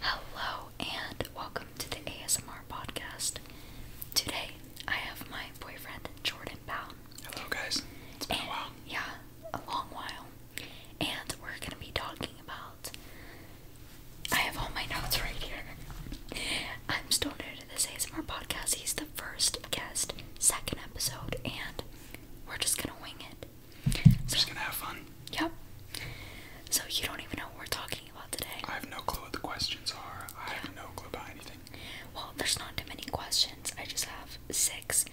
Hello and welcome to the ASMR podcast. Today I have my boyfriend Jordan Bound. Hello guys. It's been a while. Yeah, a long while. And we're going to be talking about I have all my notes right here. I'm still new to this ASMR podcast. He's the first guest, second episode, and we're just going to wing it just gonna have fun. Yep. So you don't even know what we're talking about today. I have no clue what the questions are. I have no clue about anything. Well, there's not too many questions. I just have six,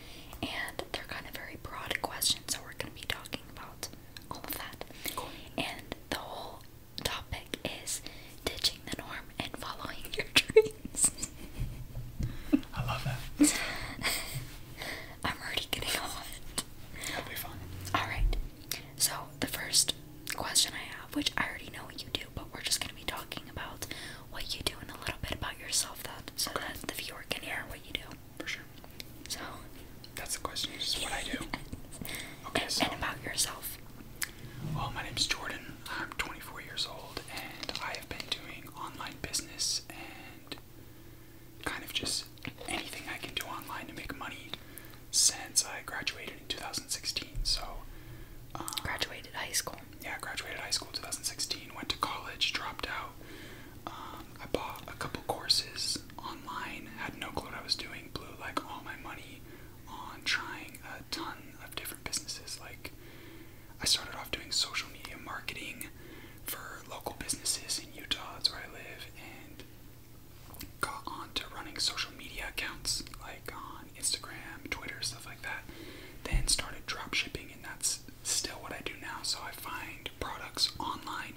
and they're kind of very broad questions. So we're gonna be talking about all of that. And the whole topic is ditching the norm and following your dreams. I love that. I'm already getting hot. It'll be fun. Alright. So the first question I have, which I already know what you do, but we're just gonna be talking about what you do and a little bit about yourself that so that the viewer can hear what you do. For sure. So that's the question, is what I do. Okay, so and about yourself. Well, my is Jordan. I'm 24 years old, and I have been doing online business and kind of just anything I can do online to make money since I graduated in 2016. So, um, graduated high school. Yeah, graduated high school 2016. Went to college, dropped out. Um, I bought a couple courses online. Had no clue what I was doing. Blew like all my money on trying a ton of different businesses. Like, I started off doing social media marketing for local businesses in Utah. That's where I live, and got onto running social media accounts like on Instagram, Twitter, stuff like that. Then started drop shipping, and that's still what I do now. So I find products online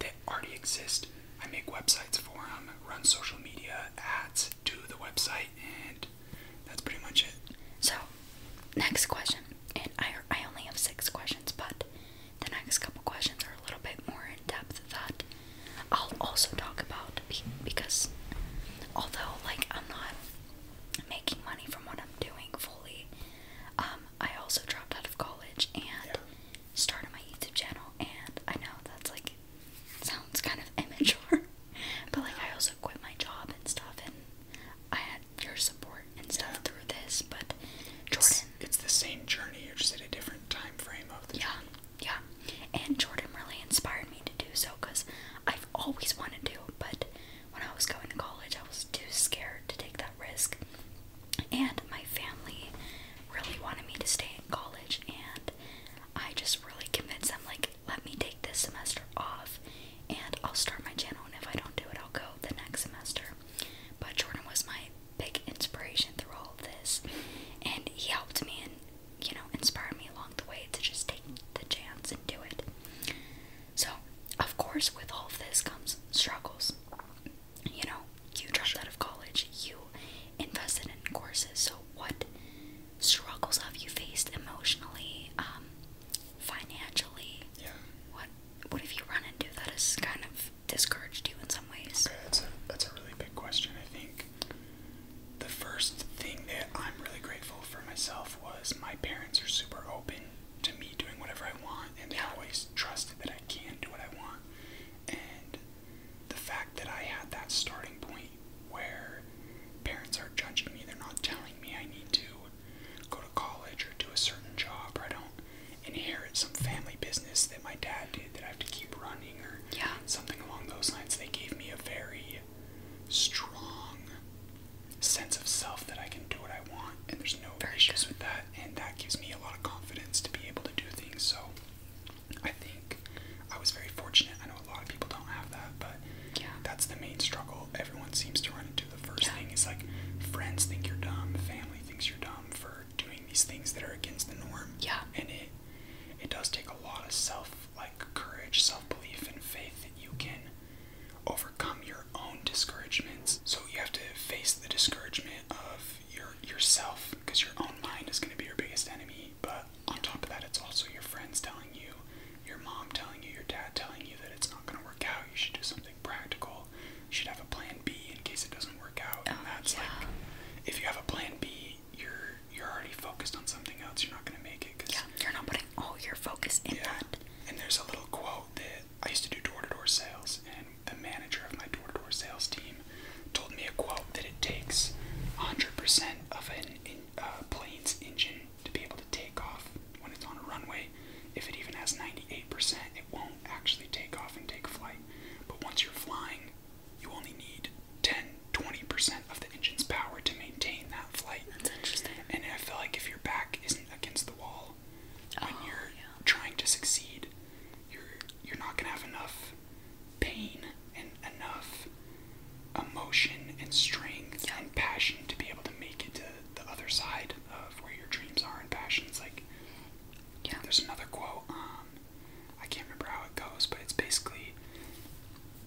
that already exist. I make websites for them, run social media ads to the website, and that's pretty much it. So, next question, and I I only have six questions, but the next couple questions are a little bit more in depth that I'll also talk about because although like I'm not making money from what I'm doing fully, um, I also dropped out of college and started my YouTube channel and I know that's like sounds kind of immature, but like I also quit my job and stuff and I had your support and stuff through this, but Jordan. It's, the same journey, you're just at a different time frame of the yeah, Yeah, yeah. And Jordan really inspired me to do so because I've always wanted to, but when I was going to college, I was too scared to take that risk. And my family really wanted me to stay in college, and I just really convinced them, like, let me take this semester off and I'll start my channel. And if I don't do it, I'll go the next semester. But Jordan was my big inspiration through all of this, and he helped me and you know inspired me along the way to just take the chance and do it. So, of course, with all of this comes struggles. You know, you dropped out of college, you invested in courses, so what struggles have you faced emotionally, um, financially? Yeah. What what if you run into that has kind of discouraged you in some ways? that's a that's a really big question. I think the first thing that I'm really grateful for myself was my parents are super open to me doing whatever I want, and they always trusted that I can do what I want. And the fact that I had that starting point where parents are judging me, they're not telling me I need to go to college or do a certain job, or I don't inherit some family business that my dad did that I have to keep running or yeah. something along those lines. They gave me a very strong sense of self that I can do what I want and there's no very issues good. with that and that gives me a lot of confidence to be able to do things. So I think I was very fortunate. I know a lot of people don't have that, but yeah. that's the main struggle everyone seems to run into. The first yeah. thing is like friends think you're dumb, family thinks you're dumb for doing these things that are against the norm. Yeah. And it it does take a lot of self like courage, self belief and faith that you can overcome your own discouragements. So you have to face the discouragement of your yourself because your own mind is gonna be your biggest enemy. But on top of that it's also your friends telling you, your mom telling you, your dad telling you that it's not gonna work out, you should do something practical, should have a plan B in case it doesn't work out. oh, yeah. if you have a plan B, you're you're already focused on something else. You're not gonna make it. yeah, you're not putting all your focus in yeah. that. And there's a little quote that I used to do door-to-door sales, and the manager of my door-to-door sales team told me a quote that it takes 100% of an uh, plane's engine to be able to take off when it's on a runway. If it even has 98%, it won't actually take off and take flight. But once you're flying, you only need 10 20% of the engine's power to maintain that flight. That's interesting. And I feel like if your back isn't against the wall, when oh, you're trying to succeed, you're you're not gonna have enough pain and enough emotion and strength and passion to be able to make it to the other side of where your dreams are and passions. Like yeah. There's another quote. Um, I can't remember how it goes, but it's basically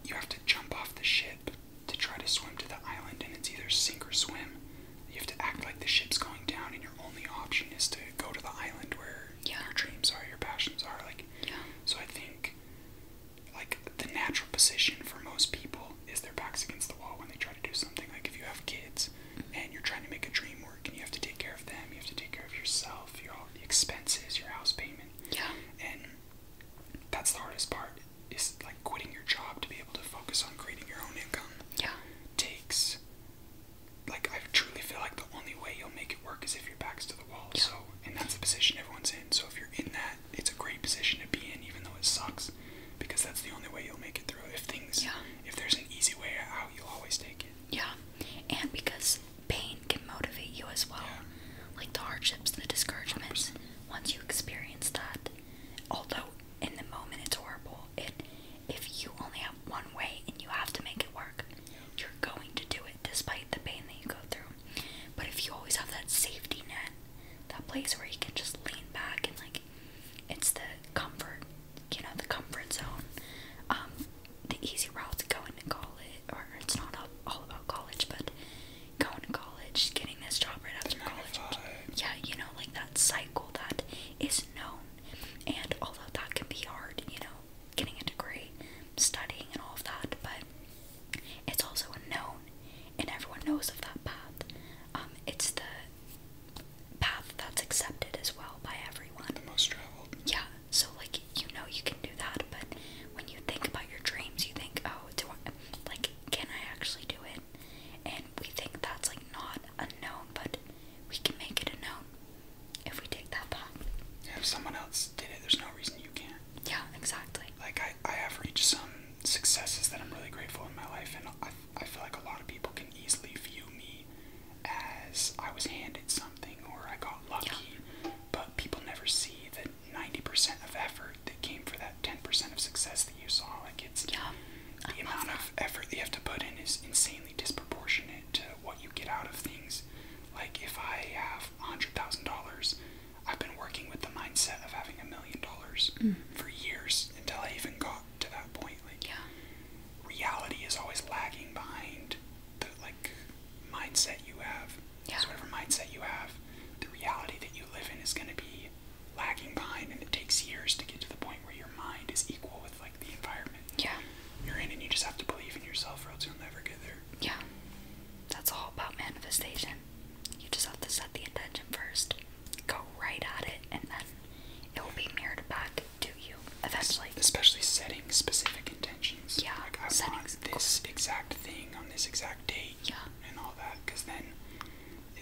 you have to jump off the ship to try to swim to the island, and it's either sink or swim. You have to act like the ship's going down, and your only option is to go to the island where yeah. your dreams are, your passions are. Like, yeah. so I think like the natural position for most people is their backs against the wall when they try to do something. Like if you have kids, and you're trying to make a dream work and you have to take care of them, you have to take care of yourself, your all the expenses, your house payment. Yeah. And that's the hardest part is like quitting your job to be able to focus on creating your own income. Yeah. Takes like I truly feel like the only way you'll make it work is if your back's to the wall. Yeah. So and that's the position everyone's in. So if you're in that, it's a great position to be in even though it sucks because that's the only way you'll make it through. If things yeah. if there's an easy way out, you'll always take it. Yeah, and because pain can motivate you as well, like the hardships the discouragements. Once you experience that, although in the moment it's horrible, it if you only have one way and you have to make it work, you're going to do it despite the pain that you go through. But if you always have that safety net, that place where you can just lean back and like it's the comfort you know, the comfort zone. Um, the easy route to going to college, or it's not all about college, but going to college, getting this job right after college. Yeah, you know, like that cycle that is known. And although that can be hard, you know, getting a degree, studying, and all of that, but it's also unknown, and everyone knows of that path. Um, it's the path that's accepted as well by everyone. most traveled. Yeah. So like you know you can do that, but when you think about your dreams, you think, oh, do I, like can I actually do it? And we think that's like not unknown, but we can make it a known if we take that path. if someone else did it, there's no reason you can't. Yeah, exactly. Like I, I have reached some successes that I'm really grateful in my life, and I, I feel like a lot of people can easily view me as I was handed something or I got lucky, yeah. but people never see the 90% of effort that came for that 10% of success that you saw. Like it's yeah. the I amount of effort that you have to put in is insanely disproportionate to what you get out of things. Like if I have $100,000, I've been working with the mindset of having a million dollars mm. for years until I even got to that point. Like, yeah reality is always lagging behind the like mindset you have. Yeah. whatever mindset you have, the reality that you live in is going to be lagging behind, and it takes years to get to the point where your mind is equal with like the environment. Yeah. You're in, and you just have to believe in yourself, or else you'll never get there. Yeah. That's all about manifestation. You just have to set the intention first, go right at it, and then it will be mirrored back to you eventually. Especially setting specific intentions. Yeah. I want this exact thing on this exact date. Yeah. And all that, because then,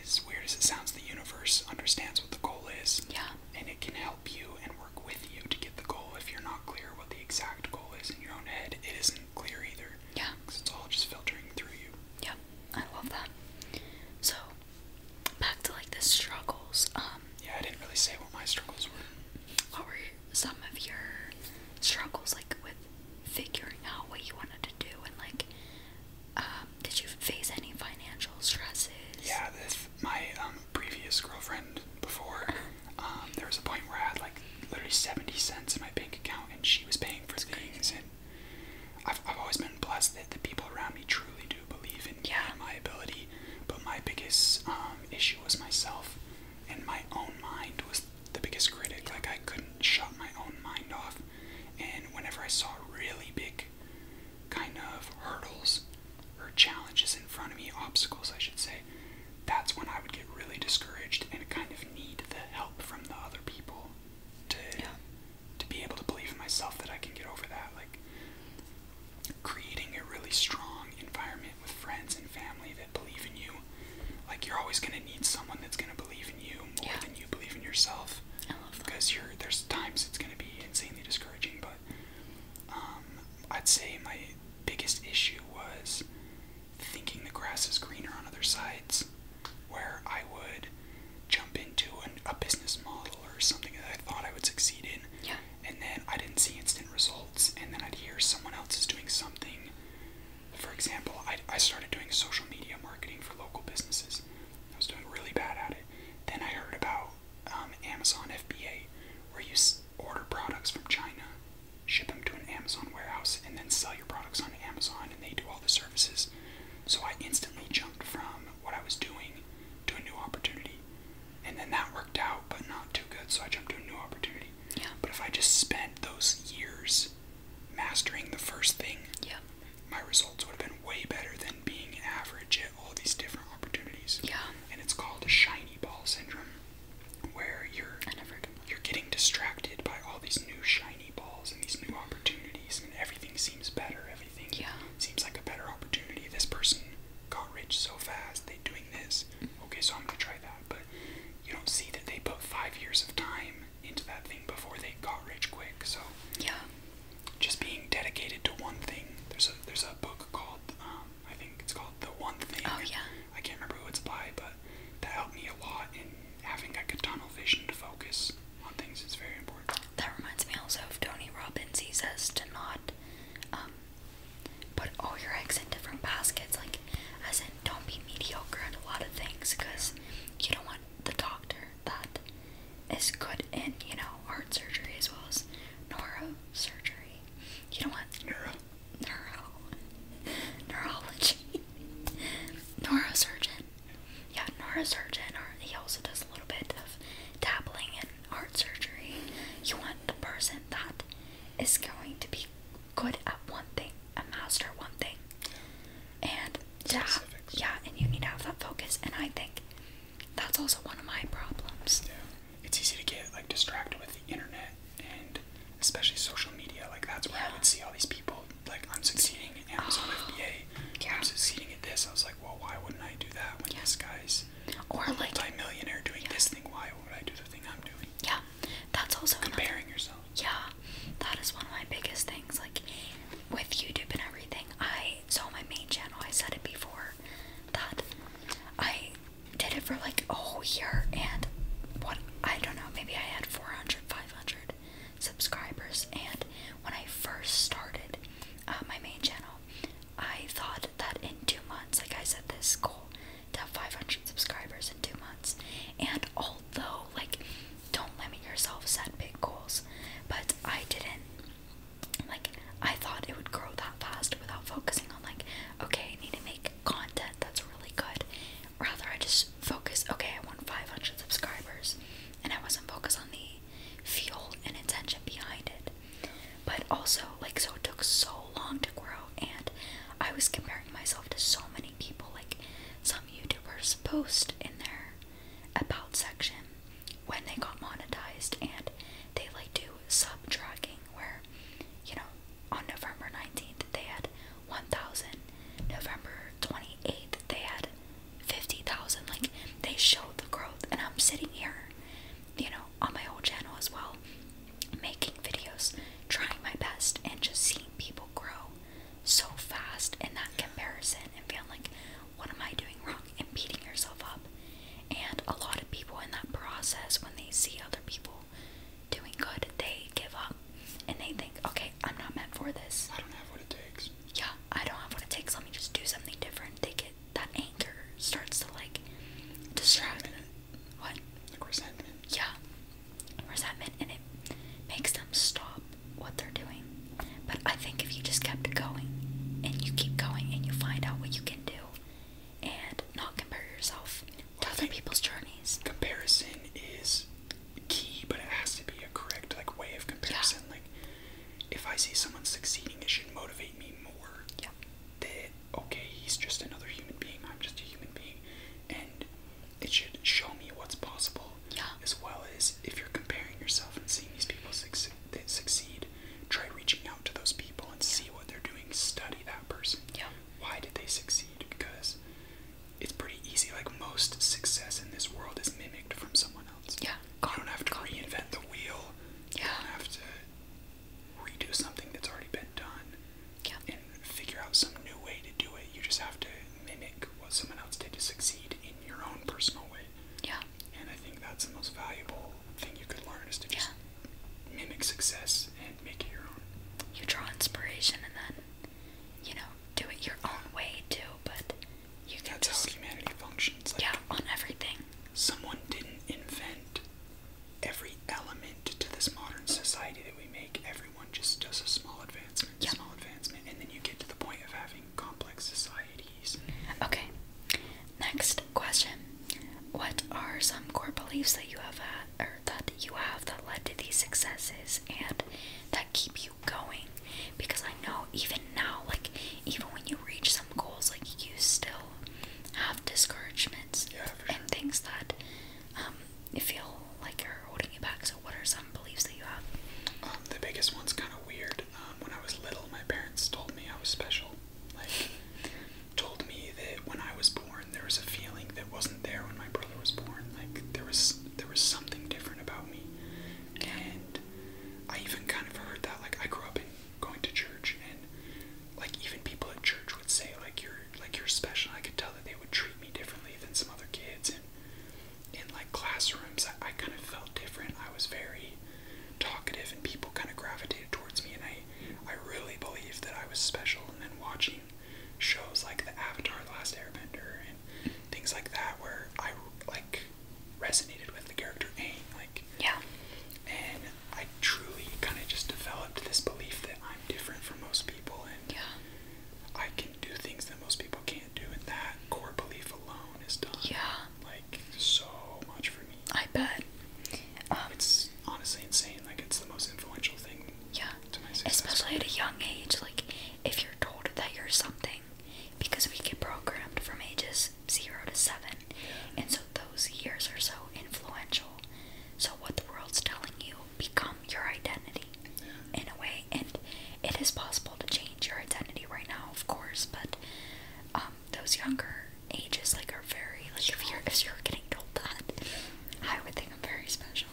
as weird as it sounds, the universe understands what the goal is. Yeah. And it can help you and work with you to get the goal if you're not clear what the exact goal is in your own head. It isn't clear either. Yeah. Because it's all just filtering through you. Yeah, I love that. So back to like the struggles. Um, yeah, I didn't really say what my struggles were. What were some of your struggles like with figuring out what you wanted to do and like um, did you face any financial stresses? Yeah, this, my um, previous girlfriend before, um, there was a point where I had like literally 70 cents in my bank account and she was paying for That's things. Crazy. And I've, I've always been blessed that the people around me truly do to believe in yeah. my ability, but my biggest um, issue was myself, and my own mind was the biggest critic. Yeah. Like I couldn't shut my own mind off, and whenever I saw really big, kind of hurdles or challenges in front of me, obstacles I should say, that's when I would get really discouraged and kind of need the help from the other people to yeah. to be able to believe in myself that I can get over that. Like creating a really strong environment with friends and family that believe in you. Like you're always gonna need someone that's gonna believe in you more yeah. than you believe in yourself. I love that. Because you're there's times it's gonna be insanely discouraging, but um, I'd say my biggest issue was thinking the grass is greener on other sides, where I would jump into an, a business model or something that I thought I would succeed in. Yeah and then I didn't see instant results, and then I'd hear someone else is doing something. For example, I, I started doing social media marketing for local businesses. I was doing really bad at it. Then I heard about um, Amazon FBA, where you order products from China, ship them to an Amazon warehouse, and then sell your products on Amazon, and they do all the services. So I instantly jumped from what I was doing to a new opportunity. And then that worked out, but not too good, so I jumped to a new opportunity. Yeah. But if I just spent those years mastering the first thing, yeah. my results would have been way better than being average at all these different opportunities. Yeah. And it's called a shiny ball syndrome, where you're you're getting distracted by all these new shiny balls and these new opportunities, and everything seems better everything. Yeah. Seems like a better opportunity. This person got rich so fast, they doing this. Mm-hmm. Okay, so I'm gonna try that. But you don't see that they put five years of time into that thing before they got rich quick. So yeah, just being dedicated to one thing. There's a there's a book called um, I think it's called The One Thing. Oh yeah. I can't remember who it's by, but that helped me a lot in having like a tunnel vision to focus on things. It's very important. That reminds me also of Tony Robbins. He says to not um, put all your eggs in different baskets, like as in don't be mediocre at a lot of things, because you don't want the doctor that is good in you know heart surgery as well as neurosurgery. You don't want neuro neuro neurology neurosurgeon. Yeah, neurosurgeon, or he also does a little bit of dabbling in heart surgery, you want the person that is going to be good at one thing, a master one thing. And yeah, yeah, and you need to have that focus. And I think that's also one of my problems. Yeah. It's easy to get like distracted with the internet and especially social media. Like that's where I would see all these people like I'm succeeding in Amazon FBA. I'm succeeding at this. I was like, well, why wouldn't I do that when yeah. this guy's or like multi-millionaire doing this thing. Why would I do the thing I'm doing? Yeah, that's also comparing yourself. Yeah, that is one of my biggest things. Like with YouTube and everything, I so my main channel. I said it before that I did it for like a whole year and what I don't know. Maybe I had 400, 500 subscribers, and when I first started uh, my main channel, I thought that in two months, like I said, this goal to have 500 subscribers in two months. And although, like, don't limit yourself, set big goals. But I didn't, like, I thought it would grow that fast without focusing on, like, okay, I need to make content that's really good. Rather, I just focus, okay, I want 500 subscribers. And I wasn't focused on the fuel and intention behind it. But also, like, so it took so long to grow, and I was comparing myself to so many people. Like, some YouTubers post in their about section when they got monetized, and they like do sub tracking where, you know, on November 19th they had 1,000, November 28th they had 50,000. Like, they showed the growth, and I'm sitting here you know, on my whole channel as well, making videos, trying my best, and just seeing people grow so fast in that comparison and feeling like, what am I doing wrong? And beating yourself up. And a lot of people in that process, when they see other people doing good, they give up and they think, okay, I'm not meant for this. I don't have what it takes. Yeah, I don't have what it takes. Let me just do something different. They get that anchor starts to like distract them. What? resentment. Yeah. Resentment and it makes them stop what they're doing. But I think if you just kept going and you keep going and you find out what you can do and not compare yourself to other people's journeys. Comparison is key, but it has to be a correct like way of comparison. Yeah. Like if I see someone succeeding it should motivate me more. Yeah that okay, he's just another human being, I'm just a human being, and it should show me what's possible, yeah. as well as if you're comparing yourself and seeing these people succeed, succeed, try reaching out to those people and see what they're doing, study that person. Yeah. Why did they succeed? Because it's pretty easy. Like most success in this world is mimicked from someone else. Yeah. I don't have to reinvent the wheel. Yeah. You have to redo something that's already been done and figure out some new way to do it. You just have to mimic what someone else did to succeed in your own personal way. Yeah. And I think that's the most valuable thing you could learn is to just mimic success and make it your own. You draw inspiration and then, you know, do it your own way too, but you can That's just, humanity functions. yeah, on everything. Someone didn't invent every element to this modern society that we make, everyone just does a small advancement, small advancement, and then you get to the point of having complex societies. Okay. Next question. What are some core beliefs that you have or that you have that led to these successes and that keep you going? Because I know even now, like even when you reach some goals, like you still have discouragements and things that um, you feel like are holding you back. So, what are some beliefs that you have? Um, the biggest one's kind of weird. Um, when I was little, my parents told me I was special. Like, told me that when I was born, there was a feeling that wasn't there when my brother was born. Like, there was there was something different about me, and I even kind of heard that. Like, I grew up in going to church and like even people at church would say like you're like you're special. I could tell that they would treat me differently than some other kids and in like classrooms I, I kind of felt different. I was very talkative and people kind of gravitated towards me and I I really believed that I was special and then watching shows like the Avatar the Last Airbender and things like that where I like resonated with the character Aang like yeah. And I truly kind of just developed this belief that I'm different from most people and yeah. I can do things that most people can't do, and that core belief alone is done. Yeah. Like so much for me. I bet. Um, it's honestly insane. Like it's the most influential thing. Yeah. To my success. Especially at a young age, like if you're told that you're something, because we get programmed from ages 0 to 7, and so those years are so influential. So, what the world's telling you become your identity in a way, and it is possible to change your identity right now, of course, but um, those younger ages like are very like if you're getting told that, I would think I'm very special.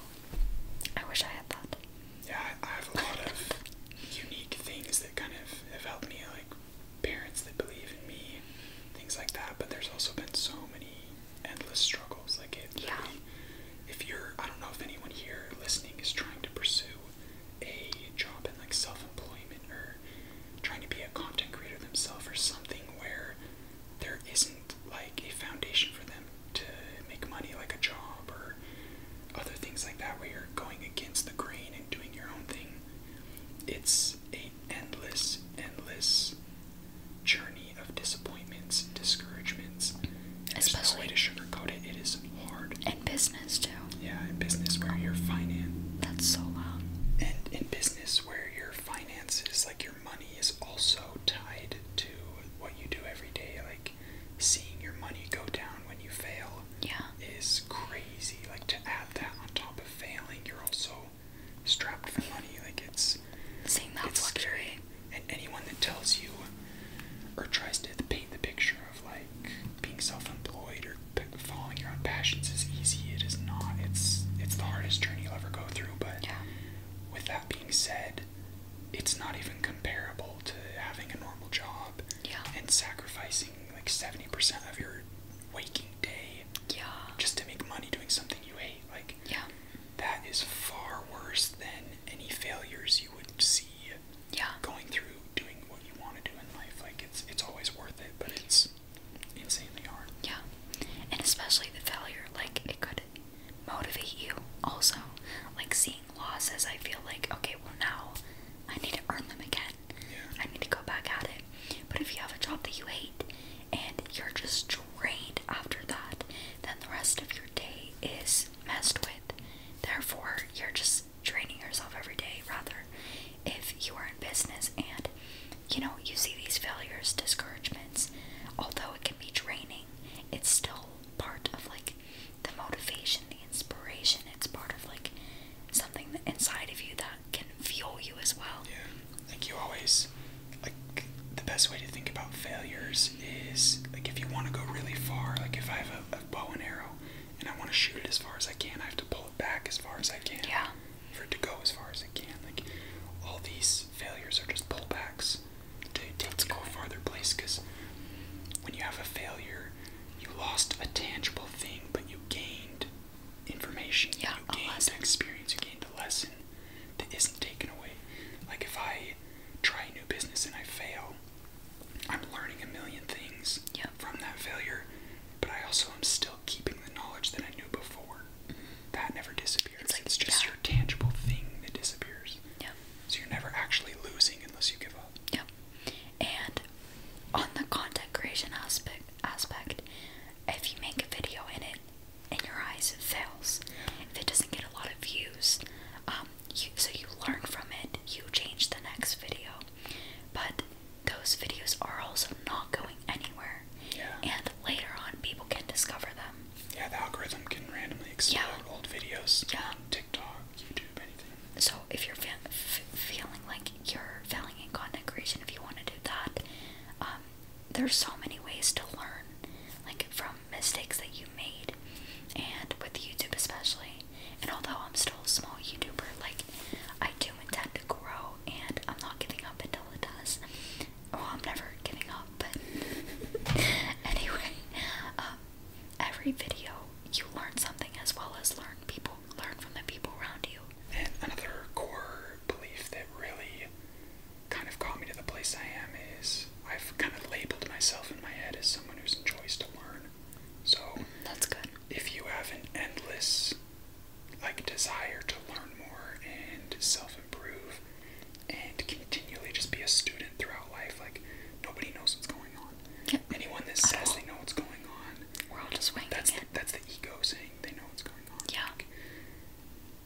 I wish I had that. Yeah, I have a lot of unique things that kind of have helped me like parents that believe in me, things like that. But there's also been so many endless struggles. Like it, if you're, I don't know if anyone here listening is trying to pursue a job in like self-employment or trying to be a content creator themselves or something where there isn't like a foundation for them to make money, like a job or other things like that, where you're going against the grain and doing your own thing. It's is endless, endless journey of disappointments, discouragements. And Especially no way to sugarcoat it. It is hard. In business too. Yeah, in business where your finance. That's so loud. And in business where your finances, like your money, is also tied to what you do every day. Like seeing your money go down when you fail. Yeah. Is crazy. Like to add that on top of failing, you're also strapped for money. Like it's seeing that it's luxury. Scary. And anyone that tells you or tries to paint the picture of like being self-employed or following your own passions is easy, it is not. It's it's the hardest journey you'll ever go through. But yeah. with that being said, it's not even comparable to having a normal job and sacrificing like seventy percent of your waking working day yeah. just to make money doing something you hate. Like, yeah. that is far worse than any failures you would see yeah. going through doing what you want to do in life. Like, it's, it's always worth it, but it's insanely hard. Yeah. And especially the failure, like, it could motivate you also. Like, seeing losses, I feel like, okay, well, now I need to earn them again. I need to go back at it. But if you have a job that you hate and you're just drained after that, then the rest of your day is messed with. Therefore, you're just draining yourself every day. Rather, if you are in business and you know you see these failures, discouragements, although it can be draining, it's still part of like the motivation, the inspiration. It's part of like something inside of you that can fuel you as well. Yeah, like you always, like the best way to think about failures is like if you want to go really far, like if I have a, a bow and arrow and I want to shoot it as far as I can, I have to pull it back as far as I can. Yeah. For it to go as far as it can, like all these failures are just pullbacks to take to go a farther place. Because when you have a failure, you lost a tangible thing, but you gained information you gain, an experience you gain, the lesson that isn't taken away. Like if I try a new business and I fail, I'm learning a million things from that failure, but I also am still keeping the knowledge that I knew before. That never disappears. It's, just your tangible thing that disappears. Yeah. So you're never actually losing unless you give up. Yeah. And on the content creation aspect aspect, if you make a video in it in your eyes it fails if it doesn't get a lot of views um, so you learn from it you change the next video but those videos are also not going anywhere yeah. and later on people can discover them yeah the algorithm can randomly explore old videos yeah. on tiktok youtube anything so if you're feeling like you're failing in content creation if you want to do that. Um, there's so many ways to learn, like from mistakes that you made, and with YouTube especially. And although I'm still a small YouTuber, like I do intend to grow, and I'm not giving up until it does. Well, I'm never giving up, but anyway, um, every video you learn something as well as learn people, learn from the people around you. And another core belief that really kind of got me to the place I am is I've kind of labeled myself in my head as someone who enjoys to learn. So that's good. If you have an endless like desire to learn more and self-improve and continually just be a student throughout life, like nobody knows what's going on. Yep. Anyone that says they know what's going on, we're all just waiting. That's that's the ego saying they know what's going on. Yeah.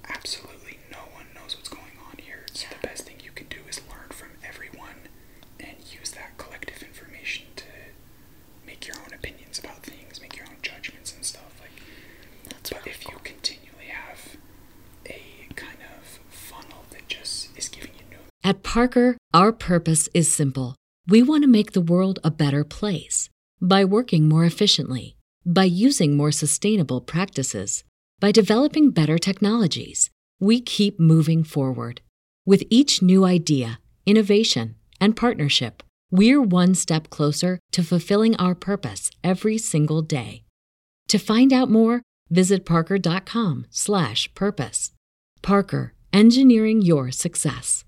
absolutely no one knows what's going on here. So the best thing you can do is learn from everyone and use that collective information to make your own opinions about things, make your own judgments and stuff. Like That's But if you continually have a kind of funnel that just is giving you new At Parker, our purpose is simple we want to make the world a better place by working more efficiently, by using more sustainable practices, by developing better technologies. We keep moving forward. With each new idea, innovation, and partnership, we're one step closer to fulfilling our purpose every single day. To find out more, visit parker.com/purpose. Parker, engineering your success.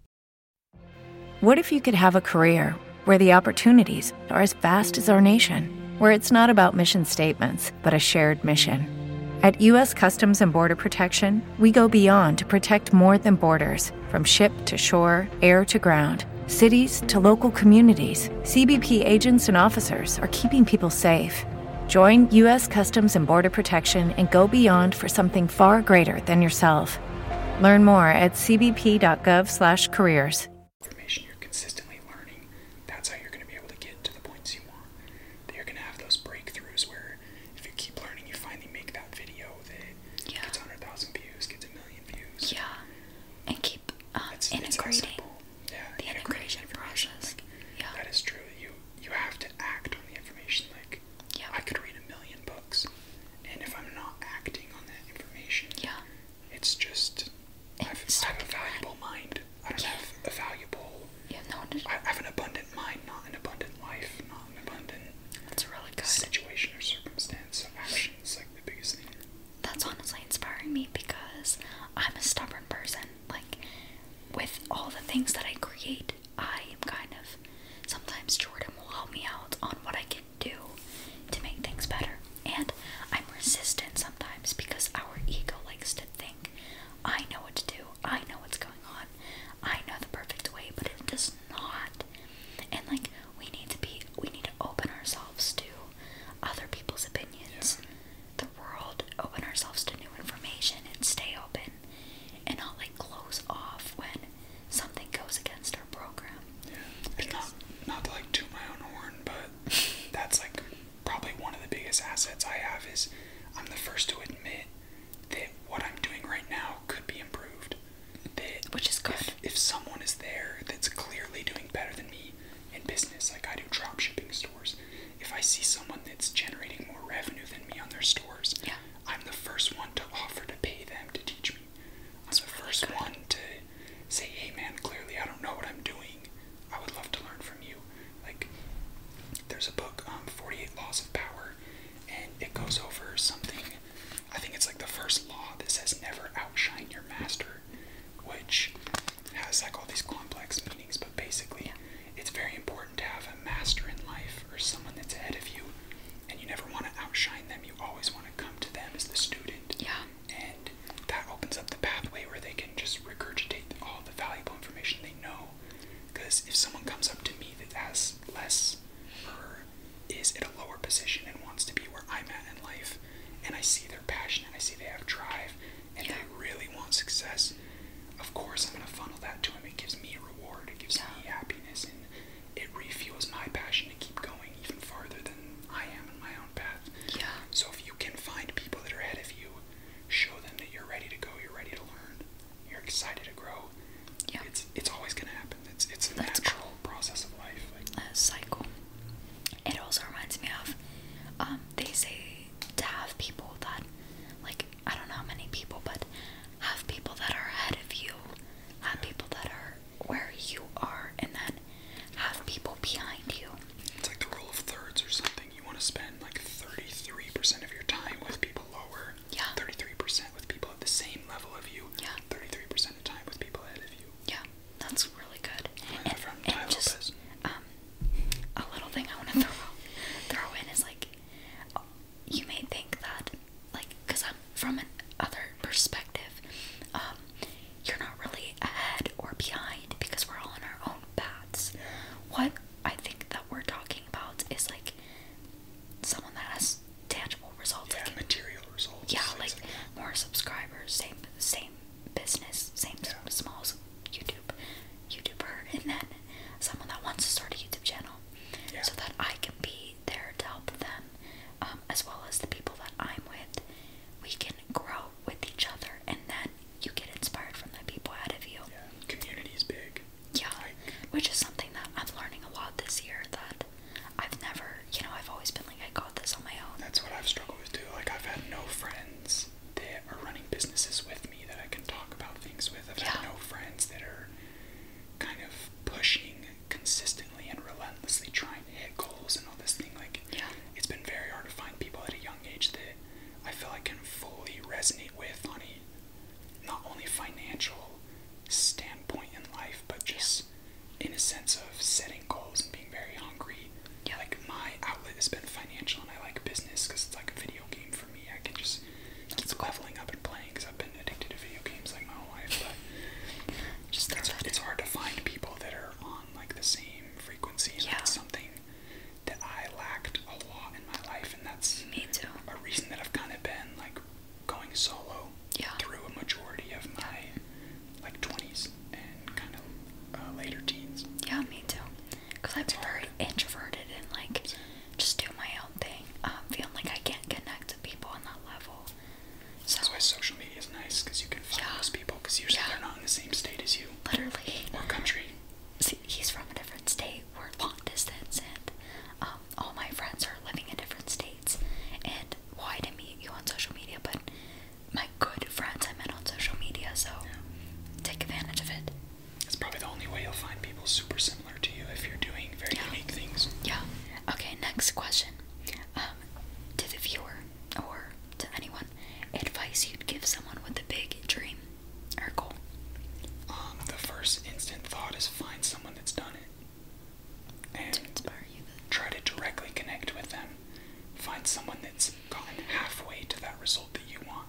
What if you could have a career where the opportunities are as vast as our nation, where it's not about mission statements, but a shared mission? At U.S. Customs and Border Protection, we go beyond to protect more than borders from ship to shore, air to ground. Cities to local communities, CBP agents and officers are keeping people safe. Join U.S. Customs and Border Protection and go beyond for something far greater than yourself. Learn more at cbp.gov/careers. Information you're consistently learning. That's how you're going to be able to get to the points you want. That you're going to have those breakthroughs where if you keep learning, you finally make that video that yeah. gets hundred thousand views, gets a million views. Yeah, and keep um, it's, integrating. It's yeah, the integration process. Like, yeah, that is true. You you have to act on the information like I could read a million books, and if I'm not acting on that information, it's just I've, a valuable mind. I don't have a valuable. Yeah, no. I have an abundant mind, not an abundant life, not an abundant. That's Situation or circumstance or like the biggest thing. That's honestly inspiring me because I'm a stubborn person. Like, with all the things that I create, I am kind of. Sometimes Jordan will help me out on what I can do to make things better. And I'm resistant sometimes because our ego likes to think, I know what to do, I know what's going on, I know the perfect way, but it does not. And like we need to be we need to open ourselves to other people's opinions, the world, open ourselves to new information and stay open and not like close off when something goes against program. Yeah. Because not to like toot my own horn, but that's like probably one of the biggest assets I have is I'm the first to admit that what I'm doing right now could be improved. Which is good. If, someone is there that's clearly doing better than me in business, like I do drop shipping stores, if I see someone that's generating more revenue than me on their stores, yeah. I'm the first one to offer to pay them to teach me. That's the first good. one to say, hey man, clearly I don't know what I'm doing. I would love to learn from you. Like, there's a book, um, 48 Laws of Power, and it goes over something. I think it's like the first law that says never outshine your master, which has like all these complex meanings, but basically, it's very important to have a master in life or someone that's ahead of you and you never want to outshine them. You always want to come to them as the student. Yeah. And that opens up the pathway where they can just regurgitate all the valuable information they know. Because if someone comes up to me that has less or is at a lower position and wants to be where I'm at in life, and I see they're passionate, I see they have drive, and yeah. they really want success, of course I'm going to funnel that to them. It gives me a reward, it gives yeah. me happiness, and it refuels my passion to keep going even farther than I am in my own path. Yeah. So if you can find people that are ahead of you, show them that you're ready to go, you're ready to learn, you're excited to grow. Yeah. It's it's always gonna happen. It's it's a natural process of life. Like, a cycle. It also reminds me of um, they say to have people that like I don't know how many people but have people that are ahead of you, have people that are where you are and then have people behind you. It's like the rule of thirds or something. You want to spend like 33% of your time with people lower, yeah. 33% with people at the same level of you, yeah. 33% of time with people ahead of you. Yeah, that's really good. And, from and just um, a little thing I want to throw, throw in is like, you may think that like because I'm from an other perspective. Um, you're not really ahead or behind because we're all on our own paths. What I think that we're talking about is like someone that has tangible results, yeah, material results. Yeah, like more subscribers, same same business, same small YouTube YouTuber, and then someone that wants to start a YouTube channel so that I can be there to help them, um, as well as the people that I'm with. We can grow with each other, and then you get inspired from the people out of you. community is big. Yeah, which is something that I'm learning a lot this year that I've never, you know, I've always been like, I got this on my own. That's what I've struggled with too. Like, I've had no friends that are running businesses with me that I can talk about things with. I've yeah. had no friends that are kind of pushing consistently and relentlessly trying to hit goals and all this thing. Like, yeah. it's been very hard to find people at a young age that I feel I can fully resonate with on a not only financial standpoint in life, but just yeah. in a sense of setting goals and being very hungry. Yeah. Like, my outlet has been financial, and I like business because it's like a video game for me. I can just keep leveling up and playing because I've been addicted to video games like my whole life, but it's, hard to find people that are on like the same frequency. Yeah. something that I lacked a lot in my life, and that's me too. A reason that I've kind of been like going solo yeah. through a majority of my like twenties and kind of uh, later teens. Yeah, me too. Cause I've very introverted and like just do my own thing. Um, feeling like I can't connect to people on that level. That's why social media is nice because you can find those people because usually they're not in the same state as you. Literally. Or country. See, he's from a different state. We're long distance, and um, all my friends are living in different states. And why didn't meet you on social media, but my good friends I met on social media, so take advantage of it. It's probably the only way you'll find people super similar to you if you're doing very unique things. Yeah. Okay, next question. Um, to the viewer or to anyone, advice you'd give someone with a big dream or goal? Um, the first instant thought is find someone that's done it. And Try to directly connect with them. Find someone that's gotten halfway to that result that you want.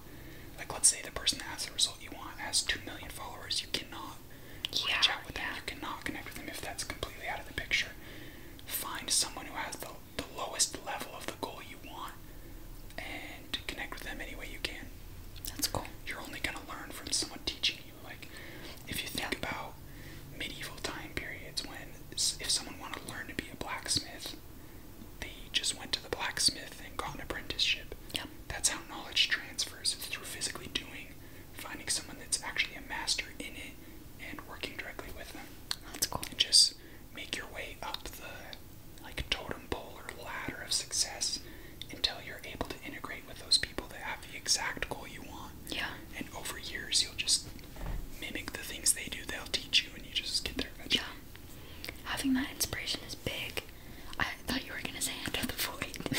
Like, let's say the person that has the result you want has 2 million followers. You cannot yeah, reach out with them. You cannot connect with them if that's completely out of the picture. Find someone who has the, the lowest level of the goal you want and connect with them any way you can. That's cool. You're only going to learn from someone teaching you. Like, if you think about medieval time periods when if someone wanted to learn to be a blacksmith, they just went to the blacksmith and got an apprenticeship. Yep. That's how knowledge transfers. It's through physically doing finding someone that's actually a master in it and working directly with them. That's cool. And just make your way up the like totem pole or ladder of success until you're able to integrate with those people that have the exact goal you want. Yeah. And over years you'll just mimic the things they do, they'll teach you and you just get there Yeah. Having that inspiration is big. I thought you were gonna say enter the void.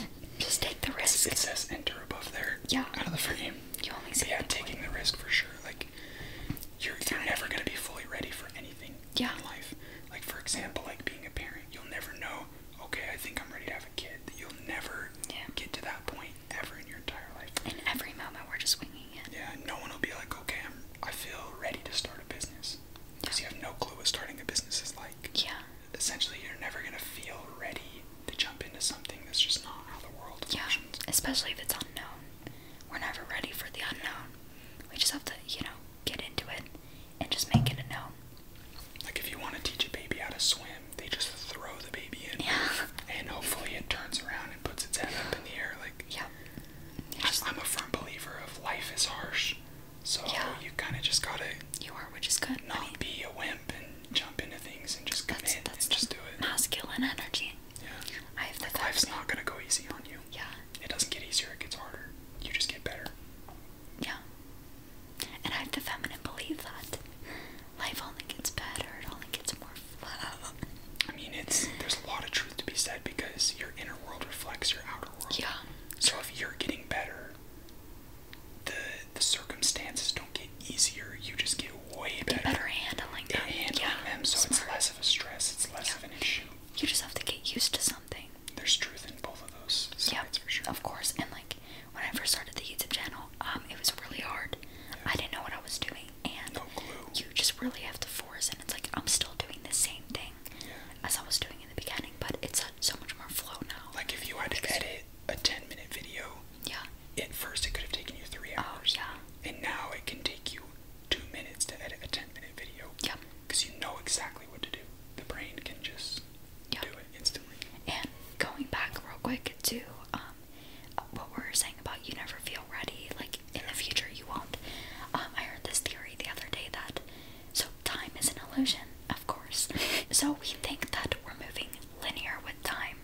Just take the risk. It says enter above there. Yeah. Out of the frame. You only see. But yeah, taking the risk for sure. Like you're you're never gonna be fully ready for anything yeah. in life. Like for example, like being a parent, you'll never know. Okay, I think I'm ready to have a kid. You'll never get to that point ever in your entire life. In every moment, we're just winging it. Yeah, no one will be like, okay, i feel ready to start a business because you have no clue what starting a business is like. Yeah essentially you're never going to feel ready to jump into something that's just not how the world works. Yeah, especially if it's unknown. We're never ready for the unknown. We just have to, you know, get into it and just make it a known. Like if you want to teach a baby how to swim, they just throw the baby in, yeah. and hopefully it turns around and puts its head up in the air. Like, yeah, I'm a firm believer of life is harsh. So you kind of just gotta. You are, which is good. Not be a wimp and jump into things and just commit that's, and just do it. Masculine energy. Yeah. I have the life's not gonna go easy on you. Yeah. It doesn't get easier; it gets harder. You just get better. Yeah. And I have the feminine believe that life only gets better; it only gets more flow. I mean, it's there's a lot of truth to be said because your inner world reflects your outer world. Yeah. So if you're getting better, the the circumstances don't get easier. You just get way better. better handling them. yeah, so it's less of a stress. It's less of an issue. You just have to get used to something. There's truth in both of those Yeah, Of course, and like when I first started the YouTube channel, um, it was really hard. Yeah. I didn't know what I was doing, and no clue. you just really have to force. And it's like I'm still doing the same thing as I was doing in the beginning, but it's a so much more flow now. Like if you had to edit a 10 minute video, yeah. At first it could have taken you three oh, hours. Oh, yeah. And now it can take you two minutes to edit a 10 minute video. Yeah. Because you know exactly what to do. The brain can just do it instantly. And going back real quick to um, what we were saying about you never feel ready, like in the future you won't. Um, I heard this theory the other day that so time is an illusion, of course. so we think that we're moving linear with time.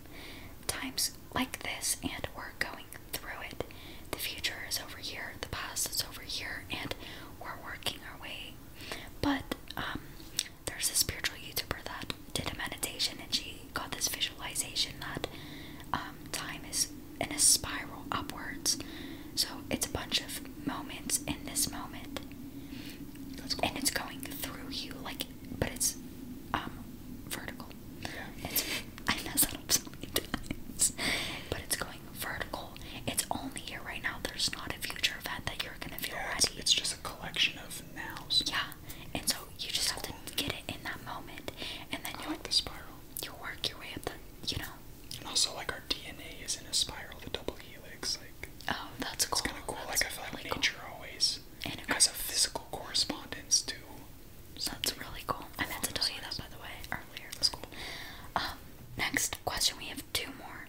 Time's like this, and we're going through it. The future is over here, the past is over here, and we're working our way. But um, there's a spiritual YouTuber that did a meditation, and she got this visualization that um, time is in a spiral upwards. So it's a bunch of moments in this moment. And it's going through you, like, but it's um vertical. Yeah. It's, I mess that but it's going vertical. It's only here right now. There's not a future event that you're gonna feel ready. It's, it's just a collection of nails. Yeah, and so you just have to get it in that moment, and then you like the spiral. You work your way up the, you know. And also, like our DNA is in a spiral, the double helix. Like, oh, that's cool. It's kind of cool. like I feel like nature always and has a physical correspondence to. That's really cool. I meant to tell you that by the way earlier. Um, next question. We have two more.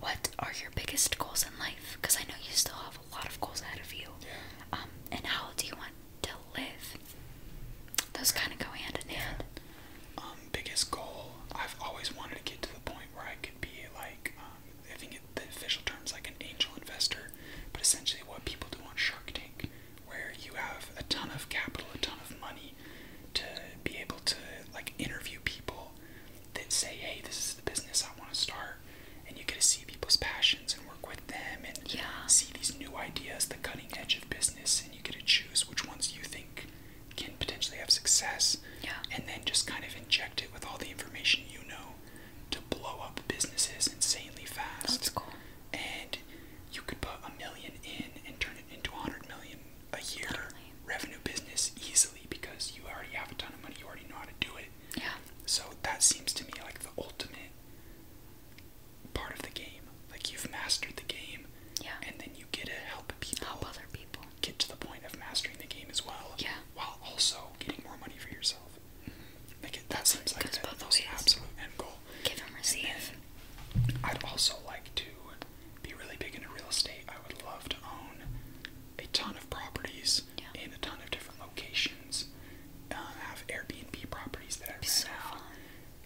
What are your biggest goals in life? Because I know you still have a lot of goals ahead of you. Um, and how do you want to live? Those kind of go hand in hand. Um, biggest goal. I've always wanted to get to the point where I could be like, um, I think it, the official term's like an angel investor, but essentially what people do on Shark Tank, where you have a ton of capital, a ton of money, to be able to like interview people that say, hey, this is the business I want to start, and you get to see people's passions and work with them and yeah. see these new ideas, the cutting edge of business, and you get to choose which ones you think can potentially have success, and then just kind of inject it with all the information you know to blow up businesses insanely fast. That's cool. And you could put a million in and turn it into a hundred million a year revenue business easily because you already have a ton of money, you already know how to do it. Yeah. So that seems to me like the ultimate part of the game. Like you've mastered the game, yeah. and then you get to help people. Help other people get to the point of mastering the game as well, while also getting more money for yourself. Mm-hmm. that seems like the most ways. absolute end goal. Give and receive. I'd also like to be really big in real estate. I would love to own a ton of properties in a ton of different locations. Uh, have Airbnb properties that I rent out.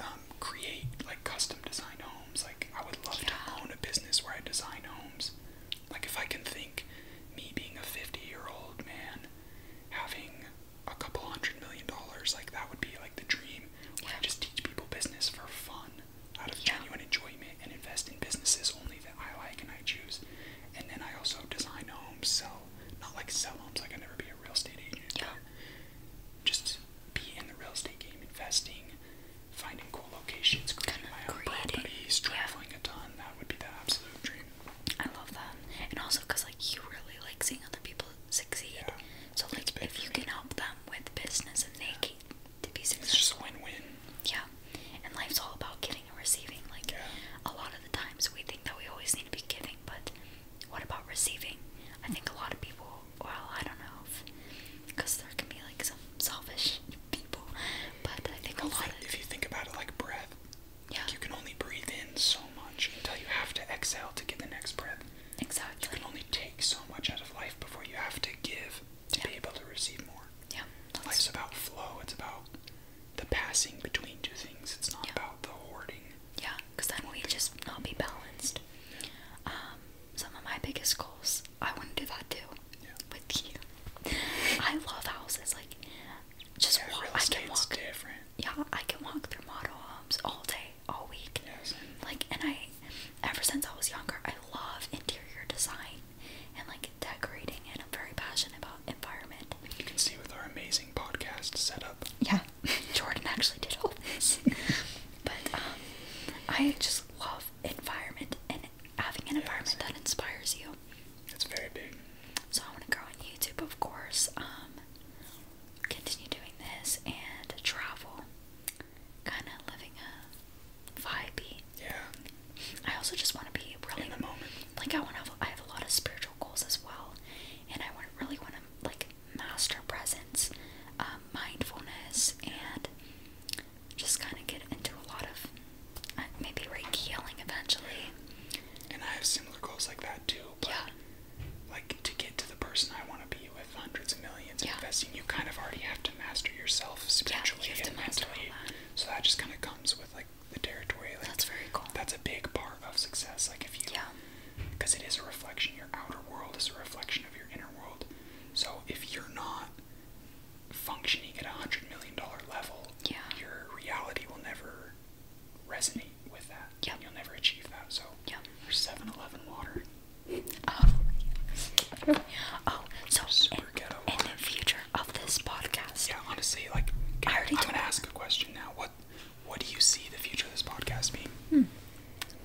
Um, create like custom designed homes. Like I would love to own a business where I design homes. Like, if I can think me being a 50 year old man having a couple hundred million dollars, like, that would be like the dream where yeah. I just teach people business for fun out of yeah. genuine enjoyment and invest in businesses only that I like and I choose. And then I also design homes, sell, not like sell homes, like, I'll never be a real estate agent. Yeah. Just be in the real estate game, investing, finding cool locations, creating my own creating, traveling a ton. That would be the absolute dream. I love that, and also because like you really like seeing other people succeed. Yeah. So like if you can help them with business and they keep yeah. to be successful, it's just a win-win. Yeah, and life's all about giving and receiving. Like a lot of the times we think that we always need to be giving, but what about receiving? I think a lot of people. Well, I don't know because there can be like some selfish people. But I think a lot. Like, if you think about it, like breath, yeah, you can only breathe in so much until you have to exhale to get the next breath. Exhale. You can only take so much out of life before you have to give to be able to receive more. Yeah. Life's about flow. It's about the passing between two things. It's not about the hoarding. Yeah, because then we just not be balanced. Um, some of my biggest goals I want to do that too with you. I love houses. Like, just yeah, walk. I can walk. Different. Yeah, I can walk through model homes all day, all week. Like, and I, ever since I was younger, I love interior design and like decorating, and I'm very passionate about environment. You can see with our amazing podcast setup. Yeah, Jordan actually did all this, but um, I just love environment and having an environment that inspires you. That's very big. So I want to grow on YouTube, of course. Um, continue doing this and travel, kind of living a vibey. Yeah. I also just want to be really in the moment. Like I want to. Have, I have a lot of spiritual goals as well, and I want really want to like master presence, um, mindfulness, and just kind of get into a lot of uh, maybe Reiki healing eventually. And I have similar goals like that too. yeah. Like to get to the person I want to be with hundreds of millions yeah. investing, you kind of already have to master yourself spiritually yeah, you and That. So that just kind of comes with like the territory. that's very cool. That's a big part of success. Like if you, because it is a reflection. Your outer world is a reflection of your inner world. So if you're not functioning at a hundred million dollar level, yeah. your reality will never resonate with that. Yep. You'll never achieve that. So yep. or 7-Eleven water. Oh, oh, so Super in, in the future of this podcast. Yeah, honestly, like I already I'm gonna ask a question now. What what do you see the future of this podcast being? Hmm.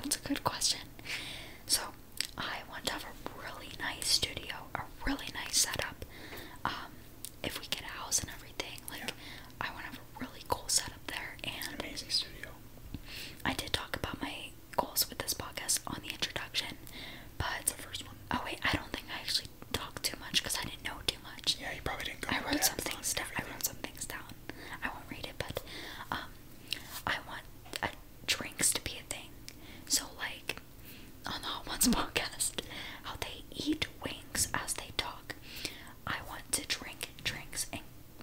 That's a good question. So I want to have a really nice studio, a really nice setup. Um, if we get a house and everything, like I want to have a really cool setup there and amazing studio. I did talk about my goals with this podcast on the introduction, but the first one. Oh wait, I don't think I actually talked too much because I didn't know too much. Yeah, you probably didn't. I wrote some things down. I wrote some things down. I won't read it, but um, I want uh, drinks to be a thing. So like, on oh, the Hot Ones podcast how they eat wings as they talk. I want to drink drinks and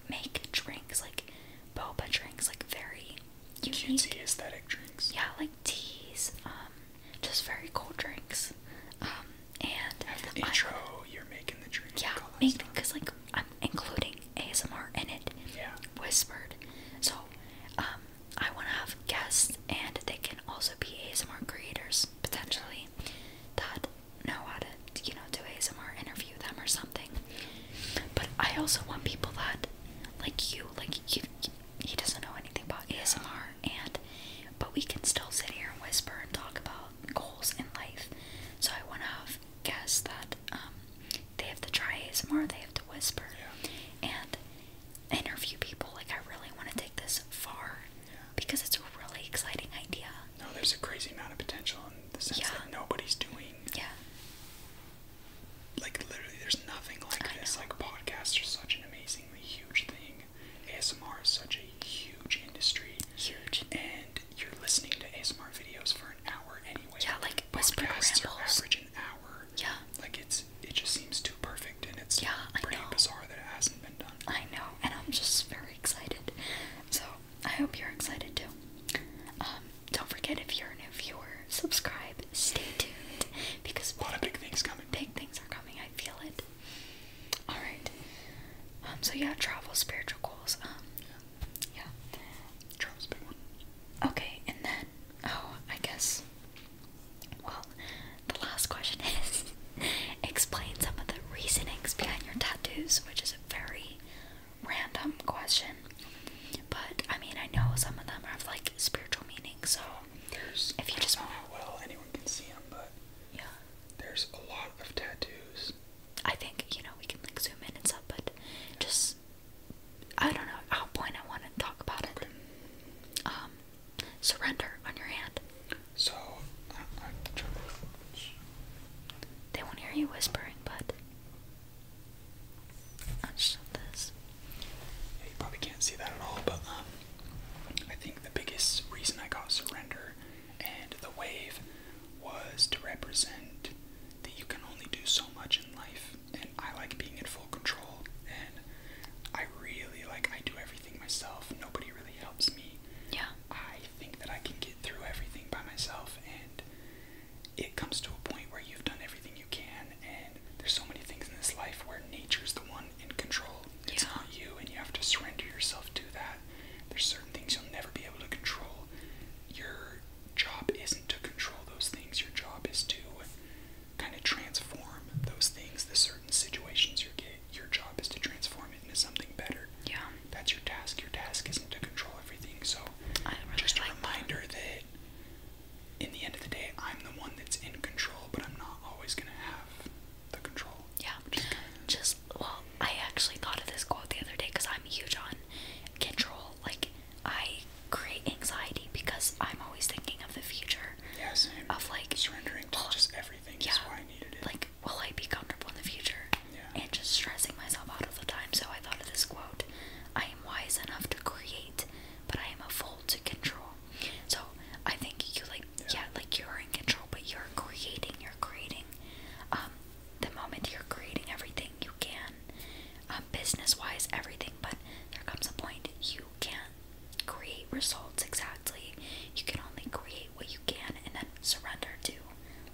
make drinks like boba drinks, like very unique aesthetic drinks. Yeah, like teas, um, just very cool drinks. Um, and have the intro. you're making the drinks. Yeah, making because like I'm including ASMR in it. Yeah. Whispered. So, um, I want to have guests, and they can also be ASMR creators potentially that know how to, you know, do ASMR, interview them or something. But I also want people that, like you, like you, he doesn't know anything about ASMR, and but we can still sit here and whisper and talk about goals in life. So I want to have guests that um, they have to try ASMR, they have to whisper, and interview people. Like, I really want to take this far because it's a really exciting idea. No, there's a crazy amount of potential in the sense that nobody's doing. Yeah. Like, literally, there's nothing like this. Like, podcasts are such an amazingly huge thing. ASMR is such a huge industry. Huge. And you're listening to ASMR videos for an hour anyway. Yeah, like, podcasts whisper rambles. are an hour. Yeah. Like it's it just seems too perfect and it's pretty bizarre that it hasn't been done. I know, and I'm just very excited. So I hope you're excited too. Um, don't forget if you're a new viewer, subscribe, stay tuned because a lot of big things coming. Big things are coming, I feel it. Alright. Um so yeah, travel, spiritual goals. Um, yeah. yeah. Travel's a big Okay, and then Oh, I guess. Well, the last question is explain some of the reasonings behind your tattoos, which is a very random question. But I mean, I know some of them have like spiritual meaning, so there's, if you just want how well anyone can see them, but yeah, there's a lot of tattoos. I think you know we can like zoom in and stuff, but just I don't know at what point I want to talk about it. Um, surrender on your hand. So, they won't hear you whispering, but i just this. you probably can't see that at all, but um, I think the biggest reason I got surrender and the wave was to represent that you can only do so much in life and I like being in full control and I really like I do everything myself. Nobody really helps me. Yeah. I think that I can get through everything by myself and it comes to a point where you've done everything you can and there's so many things in this life where nature's the one in control. It's not you and you have to surrender yourself to that. There's certain things you'll never be able to control. Your job isn't to control those things. Your job is to kind of transform those things, the certain situations you get. Your job is to transform it into something better. Yeah. That's your task. Your task isn't to control everything. So, just a reminder that. in the end of the day, I'm the one that's in control, but I'm not always going to have the control. Yeah. just, well, I actually thought of this quote the other day because I'm huge on control. Like, I great anxiety because I'm always thinking of the future. Yeah, Of like surrendering to just everything. Yeah, Like, will I be comfortable in the future? Yeah. And just stressing myself out all the time. So I thought of this quote: "I am wise enough to create, but I am a fool to control." So I think you like, yeah, yeah like you're in control, but you're creating. You're creating. Um, the moment you're creating everything you can, um, business wise, everything, but there comes a point you can't create results exactly. You can only create what you can and then surrender to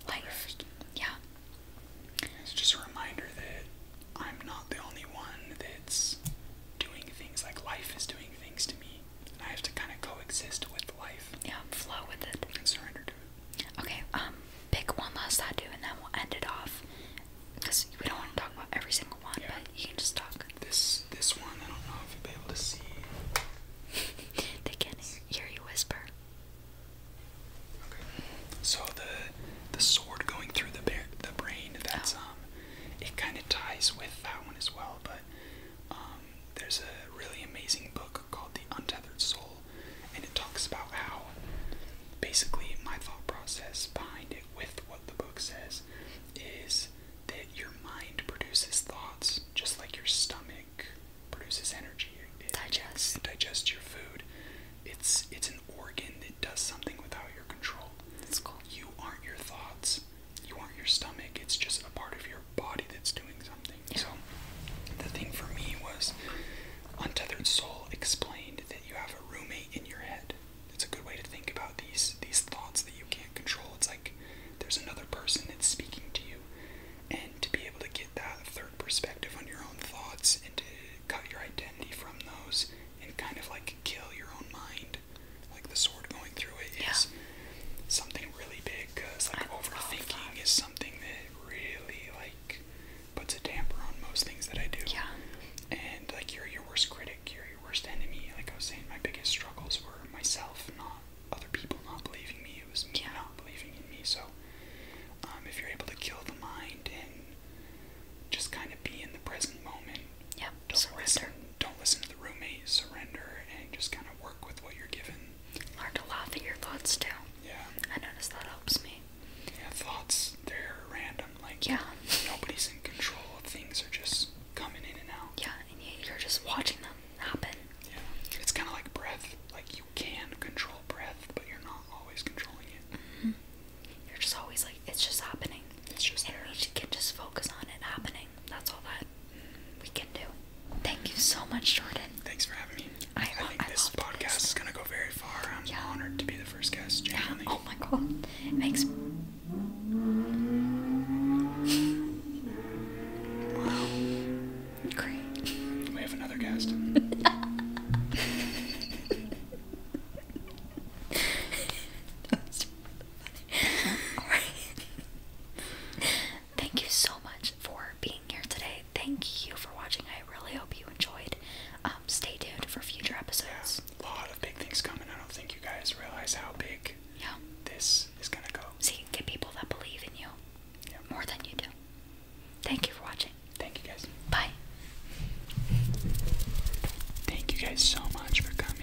life. Yeah. It's just a reminder that I'm not the only one that's doing things like life is doing things to me. And I have to kind of coexist with life. Yeah, flow with it. And surrender to it. Okay, um, pick one last tattoo and then we'll end it off. Because we don't want to talk about every single one, but you can just talk. This this one, I don't know if you'll be able to see. they can hear you whisper. Okay. So the the sword going through the the brain. That's oh. um, it kind of ties with that one as well. But um, there's a really amazing book called The Untethered Soul, and it talks about how basically my thought process behind it with what the book says is that your mind produces thoughts just like your stomach produces energy. It It digests your food. It's it's an organ that does something without your control. That's cool. You aren't your thoughts. You aren't your stomach. It's just a part of your body that's doing something. So the thing for me was Untethered Soul explained that you have a roommate in your head it's a good way to think about these these thoughts that you can't control. It's like there's another person that's speaking to you, and to be able to get that third perspective on your own thoughts and to cut your identity from those and kind of like kill your own mind, like the sword going through it yeah. is something really big. Cause like I overthinking is something that really like puts a damper on most things that I do. Yeah. And like you're your worst critic, you're your worst enemy. Like I was saying, my biggest struggles were myself, not other people not believing me. It was me yeah. not believing in me. So um, if you're able to kill the mind and just kind of be in the present moment. Yeah. Don't surrender. listen. Don't listen to the roommate. Surrender and just kind of work with what you're given. Learn to laugh at your thoughts too. Yeah. I notice that helps me. Yeah, thoughts, they're random. Like, yeah. nobody's in control. Things are just coming in and out. Yeah, and you're just watching them happen. Yeah, it's kind of like breath. Like, you can control breath, but you're not always controlling it. Mm-hmm. You're just always like, it's just happening. It's just and there. we can just focus on it happening. That's all that we can do. Thank you so much, Jordan. Thanks for having me. I, think this podcast is going to go very far. I'm honored to be the first guess, Oh my god. It makes. Great. We have another guest. Thank you so much for being here today. Thank you for watching. I really hope you enjoyed. Um, stay tuned for future episodes. Yeah, a lot of big things coming. I don't think you guys realize how big yeah. this is gonna go. So you can get people that believe in you more than you do. Thank you for watching. Thank you guys. Bye. Thank you guys so much for coming.